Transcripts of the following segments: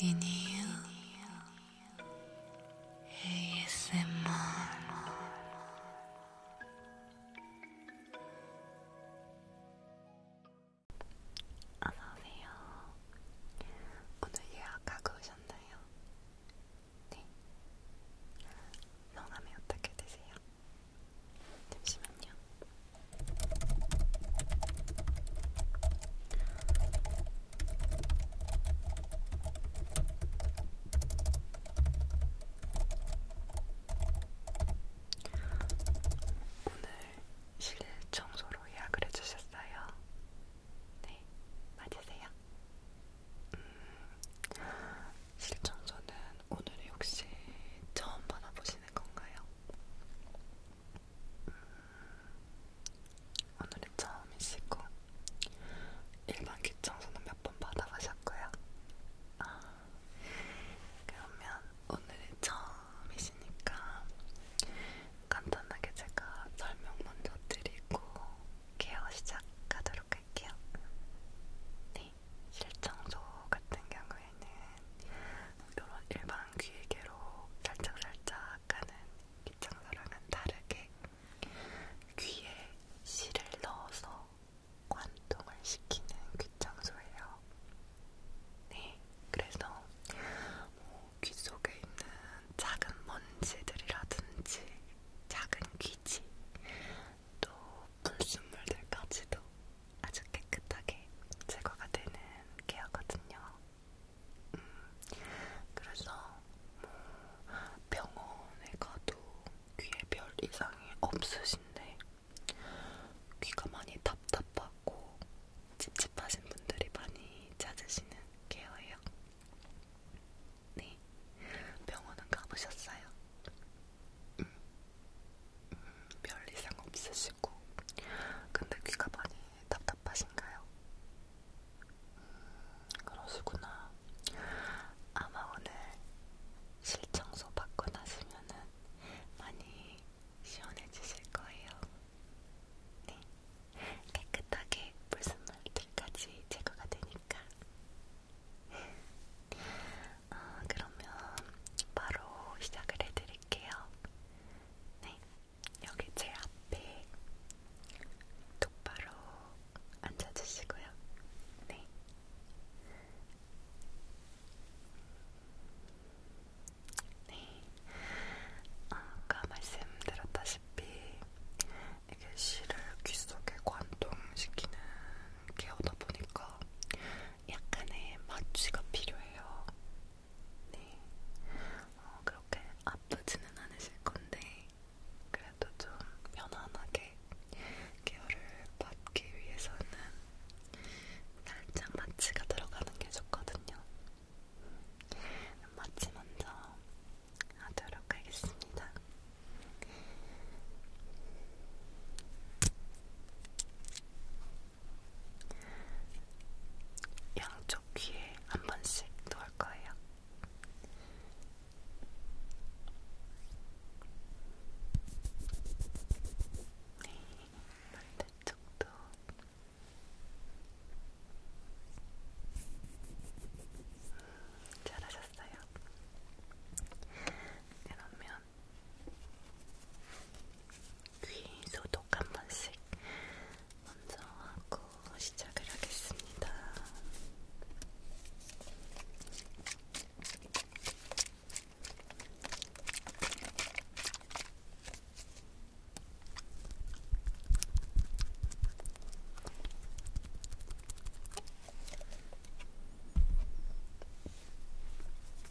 미니유 ASMR 안녕하세요. 오늘 예약하고 오셨나요? 네. 성함이 어떻게 되세요? 잠시만요. 오늘 실내 청소로 예약을 해주셨어요. 네, 맞으세요? 음, 실청소는 오늘 혹시 처음 받아보시는 건가요? 오늘은 처음이시고 일반 귀청소는 몇 번 받아보셨고요? 아, 그러면 오늘이 처음이시니까 간단하게 제가 설명 먼저 드리고 케어 시작하도록 할게요. 네, 실청소 같은 경우에는 이런 일반 귀에게로 살짝살짝 하는 기창사랑은 다르게 귀에 실을 넣어서 관통을 시키는 귀청소예요. 네, 그래서 뭐귀 속에 있는 작은 먼지들이라든지 작은 귀지 또 불순물들까지도 아주 깨끗하게 제거가 되는 케어거든요. 음, 그래서 뭐 병원에 가도 귀에 별 이상이 없으신데 귀가 많이 답답하고 찝찝하신 분들이 많이 찾으시는 케어예요. 네, 병원은 가보셨어요? 음, 음, 별 이상 없으시고 하시고 근데 귀가 많이 답답하신가요? 음, 그러시구나. 아마 오늘 실청소 받고 나시면은 많이 시원해지실 거예요. 네, 깨끗하게 불순물들까지 제거가 되니까. 어, 그러면 바로 시작을 해드릴게요. 네, 여기 제 앞에 똑바로 앉아주시고요. 네. 네. 아까 말씀드렸다시피 이게 실을 귀 속에 관통시키는 케어다 보니까 약간의 마취가 필요해요. 네, 어, 그렇게 아프지는 않으실 건데 그래도 좀 편안하게 케어를 받기 위해서는 살짝 마취가 들어가는 게 좋거든요. 마취 먼저 하도록 하겠습니다. 양쪽 귀에 한 번씩 놓을 거예요. 네, 반대쪽도. 음, 잘하셨어요. 그러면 귀 소독 한 번씩 먼저 하고 시작을 하겠습니다.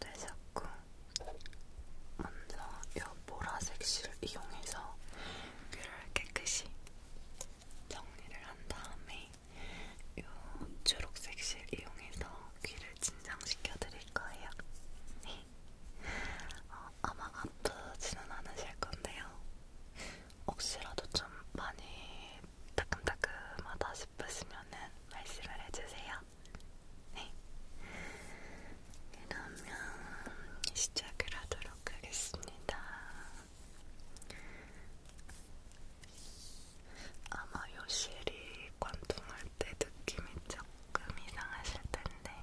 되셨고 네, 먼저 이 보라색 실을 이용해서 귀를 깨끗이 정리를 한 다음에 이 주록색 실 이용해서 귀를 진정시켜 드릴 거예요. 네. 어, 아마 아프지는 않으실 건데요. 혹시라도 좀 많이 따끔따끔하다 싶으시면은 말씀을 해주세요. 네. 그러면 시작을 하도록 하겠습니다. 아마 요실이 관통할 때 느낌이 조금 이상하실 텐데.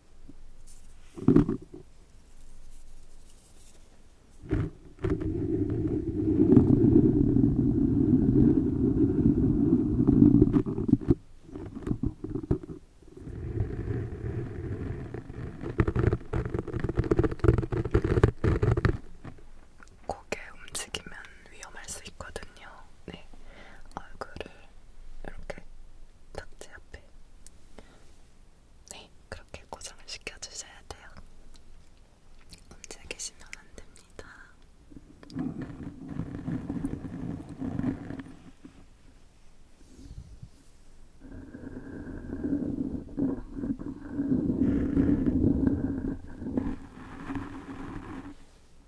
고개 움직이면 위험할 수 있거든요. 네, 얼굴을 이렇게 탁지 앞에 네 그렇게 고정을 시켜주셔야 돼요. 움직이시면 안 됩니다.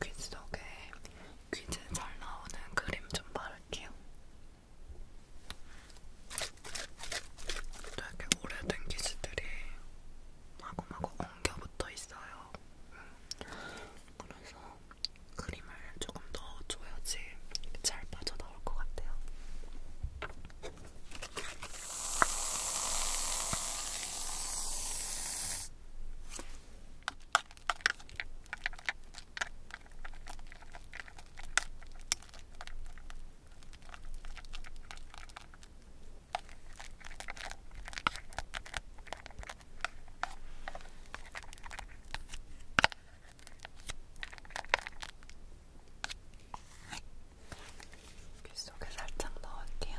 귀 속에 귀에 잘 나오는 크림 좀 바를게요. 되게 오래된 기지들이 마구마구 엉겨 붙어 있어요. 그래서 크림을 조금 넣어줘야지 잘 빠져나올 것 같아요. 귓속에 살짝 넣을게요.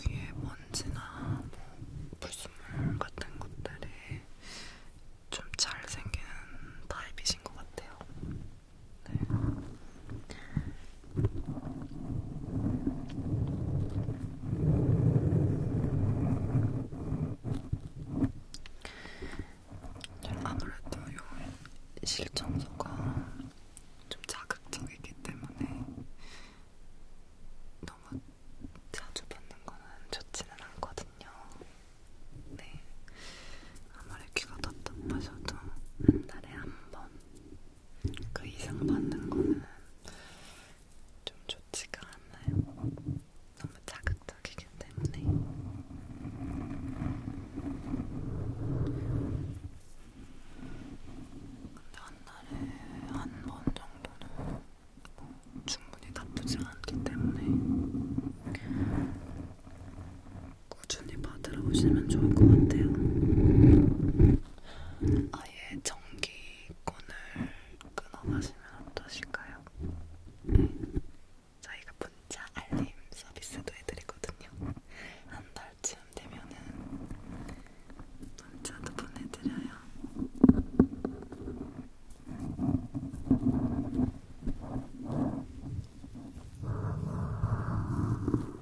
귀에 먼지나 뭐 불순물 같은 것들이 좀 잘 생기는 타입이신 것 같아요. 네. 아무래도 요 실전소가 좀 자극적이기 때문에 너무 자주 받는 거는 좋지는 않거든요. 네. 아무리 귀가 답답하셔도 한 달에 한번 그 이상 받는 거는 좀 좋지가 않나요? 너무 자극적이기 때문에 근데 한 날에 한 번 정도는 뭐 충분히 나쁘지 않기 때문에 꾸준히 받으러 오시면 좋을 것 같아요. 아예 전기권을 끊어가시면 어떠실까요? 저희가 문자 알림 서비스도 해드리거든요. 한 달쯤 되면은 문자도 보내드려요.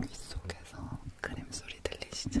귀속에서 크림 소리 들리시죠?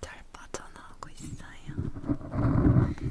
잘 빠져나오고 있어요.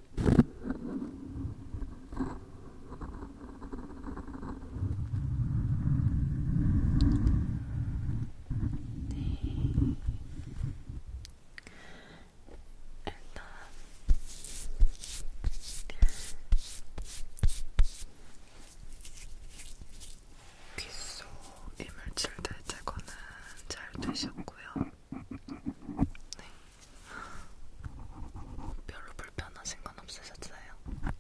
일단 귓속 이물질 대제거는 잘 되셨고요. 네. 별로 불편하신 건 없으셨어요?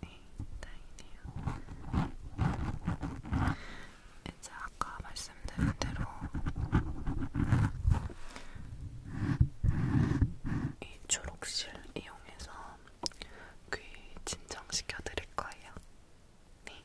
네, 다행이네요. 이제 아까 말씀드린 대로 이 초록실 이용해서 귀 진정시켜 드릴 거예요. 네.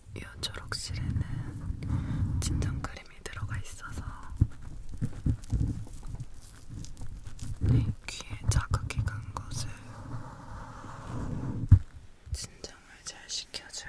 이 초록실에는 진정크림이 들어가 있어서 내 귀에 자극이 간 것을 진정을 잘 시켜줘요.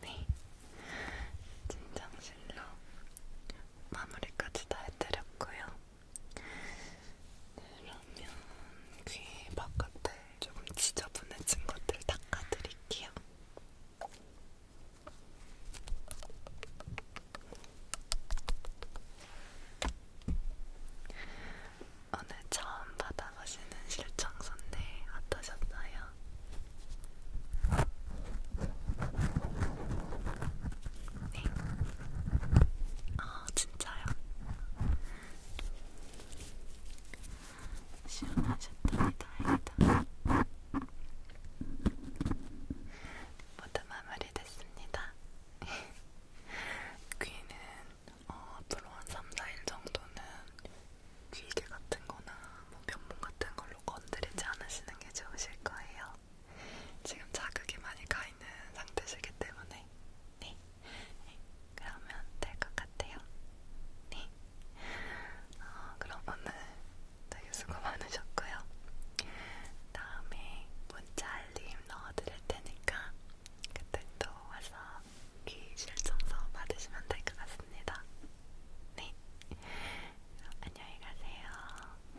네, 진정실로 마무리까지 다 해드렸고요. 그러면 귀 바깥에 조금 지저분해진 것들 닦아드릴게요. 오늘 처음 받아보시는 실청 선데 어떠셨어요? 네. 어, 진짜요? 시원하셨다니 다행이다. 모두 마무리됐습니다. 귀는 어, 앞으로 한 3, 4일 정도는 귀개 같은 거나 뭐 면봉 같은 걸로 건드리지 않으시는 게 좋으실 거예요. 지금 자극이 많이 가 있는 상태시기 때문에 네, 네. 그러면 될 것 같아요. 네. 어, 그럼 오늘 되게 수고 많으셨고요. 다음에 문자 알림 넣어드릴 테니까 그때 또 와서 귀 실청소 받으시면 될 것 같습니다. 네. 안녕히 가세요.